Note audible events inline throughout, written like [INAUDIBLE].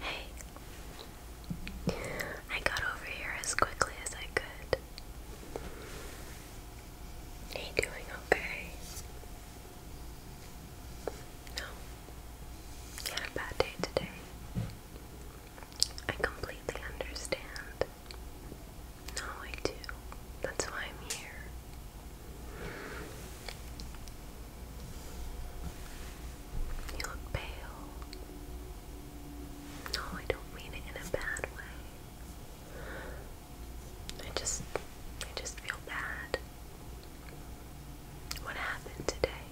Hey, I got over here as quickly as I could. Are you doing okay? No, you had a bad day today. I completely understand. No, I do. That's why I'm here. You look pale. No, I don't mean it in a bad way. I just I just feel bad. What happened today?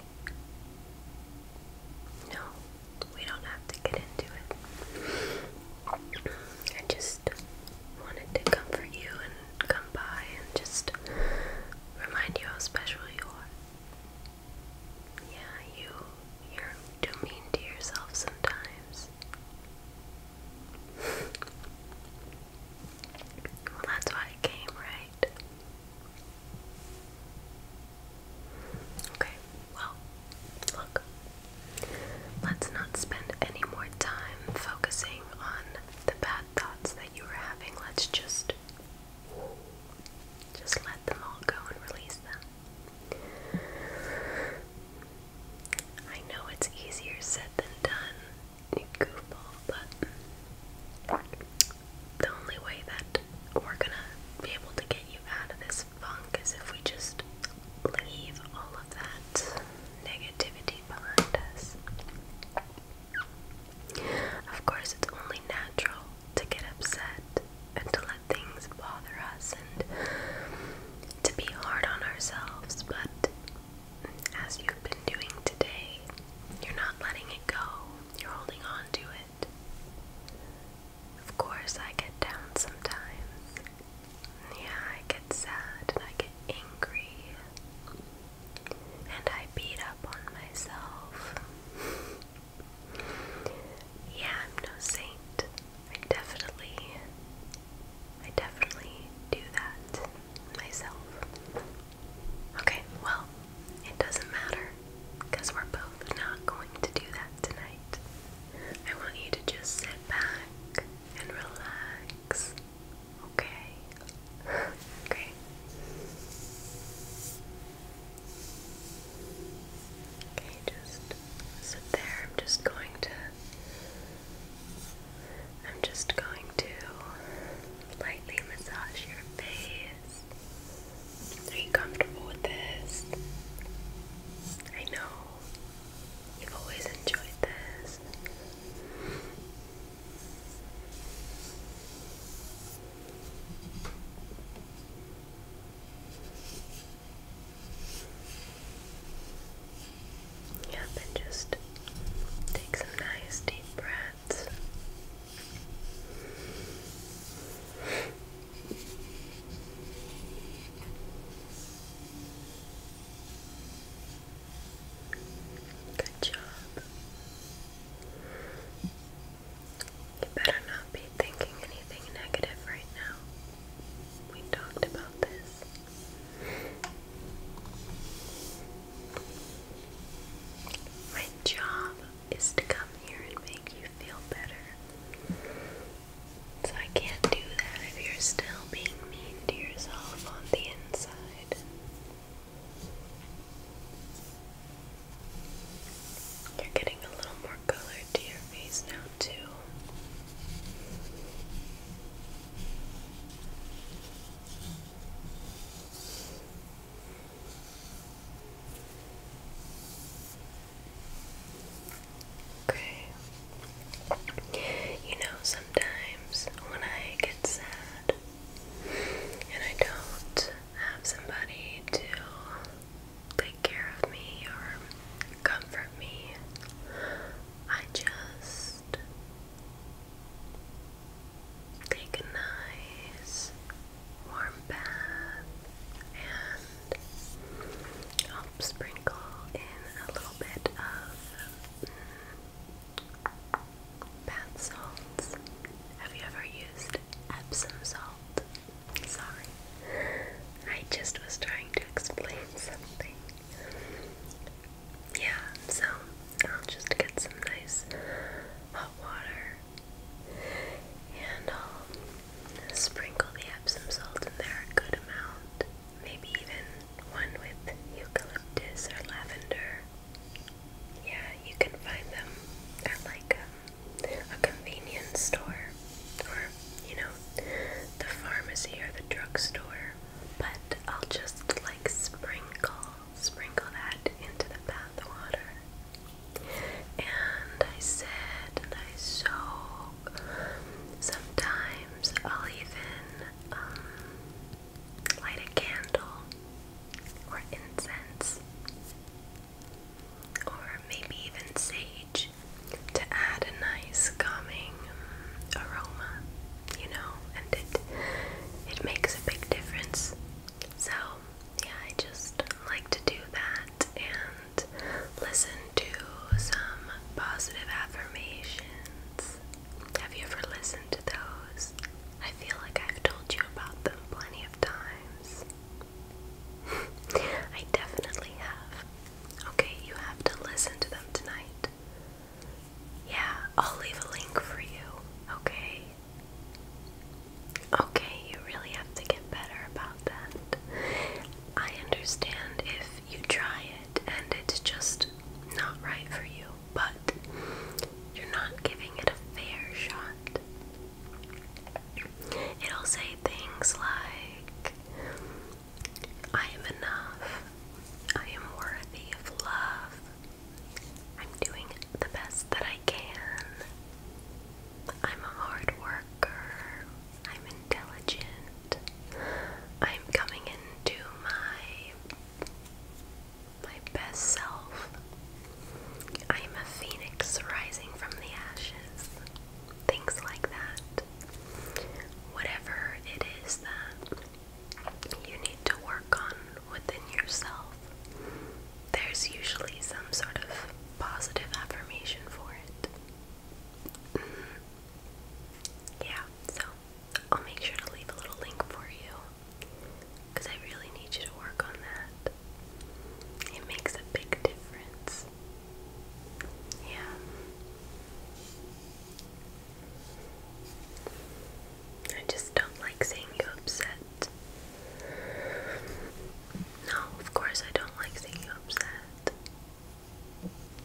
No, we don't have to get into it. I just wanted to comfort you and come by and just remind you how special you are. Yeah, you you're mean to yourself sometimes. [LAUGHS] well, that's why I came, right? Okay, well, look. Let's not spend any more time focusing on the bad thoughts that you were having, let's just just let them all go and release them. I know it's easier said than done, goofball, but the only way that we're gonna be able to get you out of this funk is if we just leave all of that negativity behind us. Of course, it's only natural to get upset and to let things bother us and to be hard on ourselves, but as you've been doing today, you're not letting it go, you're holding on to it. Of course, I get down sometimes. Yeah, I get sad and I get angry and I beat up on myself. yeah, I'm no saint. I definitely, I definitely do that myself. Okay, well, it doesn't matter we're both not going to do that tonight. I want you to just sit back and relax Okay. [LAUGHS] okay. Okay, just sit there. I'm just going to I'm just going to lightly massage your face. Are you comfortable with this? I know. You've always enjoyed this. Yep, and just take some nice deep breaths. Good job. You better not be thinking anything negative right now. We talked about this. My job is to come here and make you feel better. So I can't do that if you're still being mean to yourself on the inside. You're getting a little more color to your face now, too. Okay. You know, sometimes when I get sad, and I don't have somebody to take care of me or comfort me, I just take a nice warm bath and I'll sprinkle in a little bit of mm, Bath salts. Have you ever used Epsom salt? Sorry. I just was trying to explain something. Yeah, so I'll just get some nice hot water and I'll um, sprinkle the Epsom salt in there a good amount. Maybe even one with eucalyptus or lavender yeah, you can find them at like a, um, a convenience store or, you know, the pharmacy or the drugstore. But I'll just like sprinkle, sprinkle that into the bath water. And I sit and I soak. Sometimes I'll even um, light a candle or incense or maybe even sage to add a nice calming aroma, you know, and it it makes a big difference. So, yeah, I just like to do that and listen to some positive affirmations. Have you ever listened to those? I feel like I've told you about them plenty of times. [LAUGHS] I definitely have. Okay, you have to listen to them tonight. Yeah, I'll leave a link for you, okay? Okay, you really have to get better about that. I understand if you try it and it's just not right for you but you're not giving it a fair shot. It'll say things like, I am enough, I am worthy of love, I'm doing the best that I can, I'm a hard worker, I'm intelligent, I'm coming into my my best self. I am a phoenix rising from the ashes. Things like that. Whatever it is that you need to work on within yourself, there's usually some sort of positive affirmation for it. Mm-hmm. Yeah, so I'll make sure to leave a little link for you because I really need you to work on that. It makes a big difference. Yeah. I just don't like seeing you upset. No, of course I don't like seeing you upset.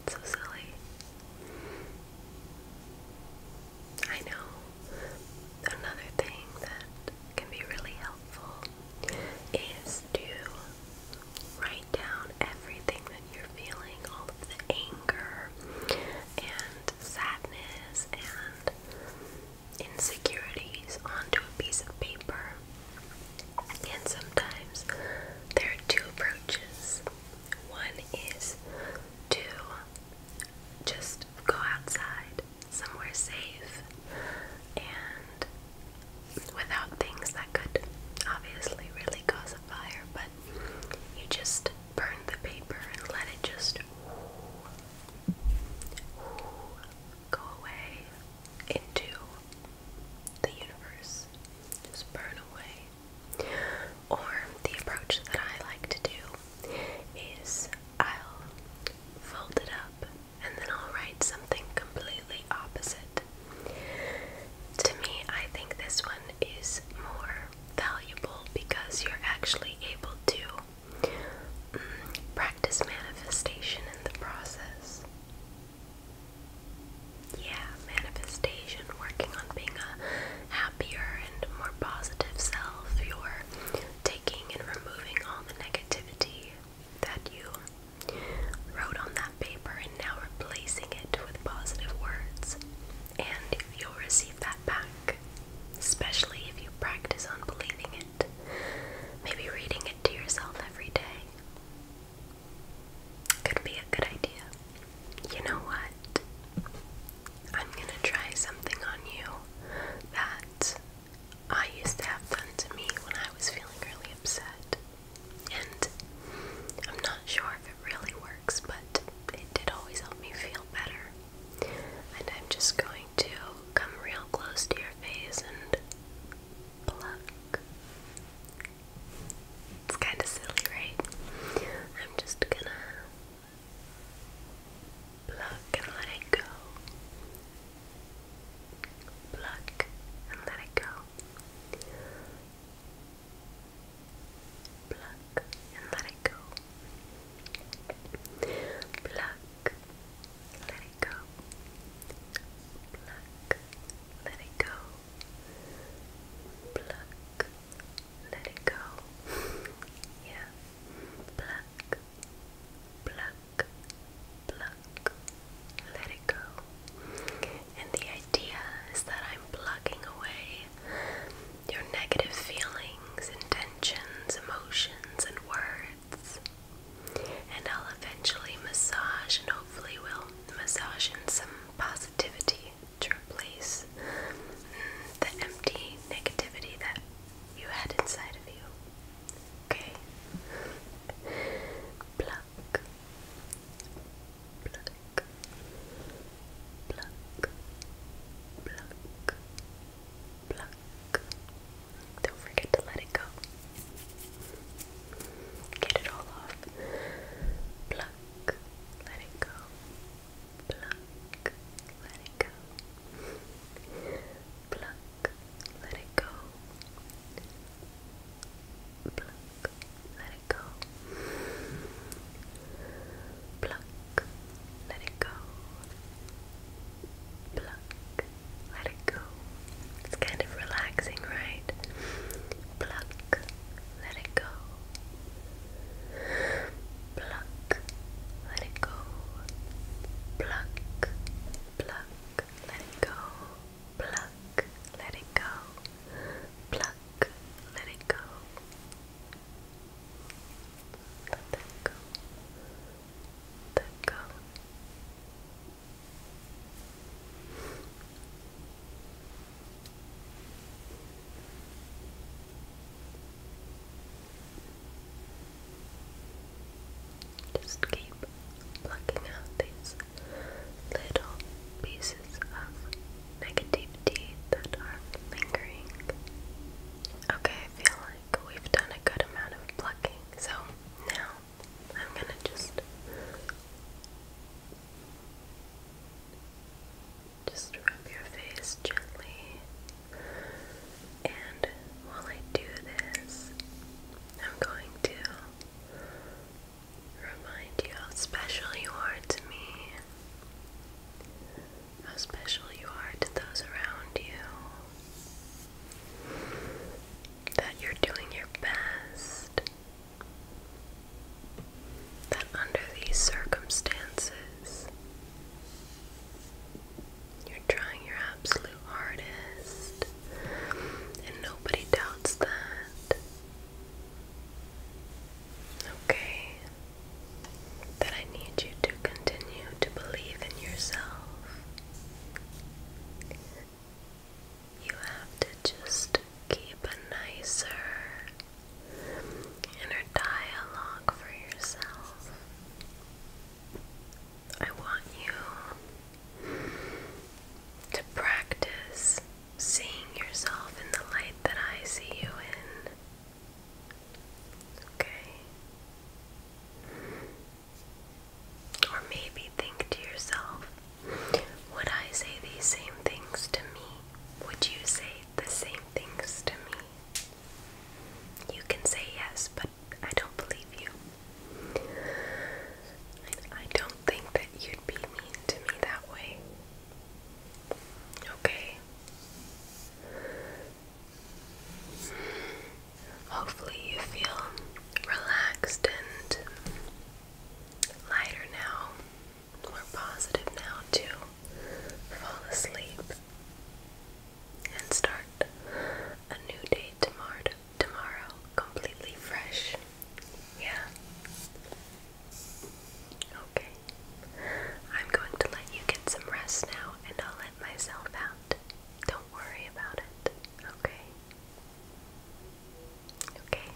so silly. I know. Another thing that can be really helpful is to write down everything that you're feeling, all of the anger and sadness and insecurities onto a piece of paper. And sometimes there are two approaches. One is to just go outside somewhere safe and without things that could obviously really cause a fire, but you just burn the paper and let it just ooh, ooh, go away into the universe. Just burn away. Or the approach that I like to do is I'll fold it up and then I'll write something completely opposite. To me, I think this one is more valuable because you're actually able to mm, practice manifestation in the process. Yeah, manifestation, working on being a happier and more positive self. You're taking and removing all the negativity that you wrote on that paper and now replacing it with positive words. And you'll receive that back, especially if you practice on believing it. Maybe reading it to yourself every day could be a good idea you know what? I'm gonna try something on you that I used to have done to me when I was feeling really upset. And I'm not sure if it really works, but it did always help me feel better. And I'm just going to come real close to your face and pluck. It's kind of silly, right? I'm just gonna Pluck and let it go. Pluck and let it go. Pluck and let it go. Pluck, let it go. Pluck, let it go. Pluck, let it go. yeah. Pluck, pluck, pluck, let it go. And the idea is that I'm plucking away your negative feelings, intentions, emotions, and words. And I'll eventually massage and hopefully will massage in some positivity to replace mm, the empty negativity that you had inside of you. Okay? Pluck. Pluck. Pluck. Pluck. Pluck. Don't forget to let it go. Get it all off. Pluck. Let it go. Pluck, let it go. Pluck, let it go. Pluck, let it go. Pluck, let it go. Pluck, let it go. It's kind of relaxing, right? Pluck, let it go. Pluck, let it go. Pluck, pluck, let it go. Pluck, let it go. Pluck, let it go. Let that go. Let that go. Just keep plucking out these little pieces of negativity that are lingering. Okay, I feel like we've done a good amount of plucking, so now I'm gonna just just rub your face gently. And while I do this, I'm going to remind you how special you are to me, how special you are to those around you, that you're doing your best that under these circumstances, you're trying your absolute hardest, and nobody doubts that. Okay? That I need you to continue to believe in yourself. You have to just keep a nicer, inner dialogue for yourself. I want you to practice seeing yourself in the light that I see you in. Okay? Or maybe think to yourself, would I say these same things to me? Would you say the same things to me? You can say yes, but I don't believe you. I, don't think that you'd be mean to me that way. Okay. Hopefully, you feel relaxed and lighter now more positive now to fall asleep and start a new day tomorrow, tomorrow completely fresh. Yeah. Okay. I'm going to let you get some rest now and I'll let myself out. Don't worry about it. Okay. Okay.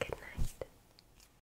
Good night.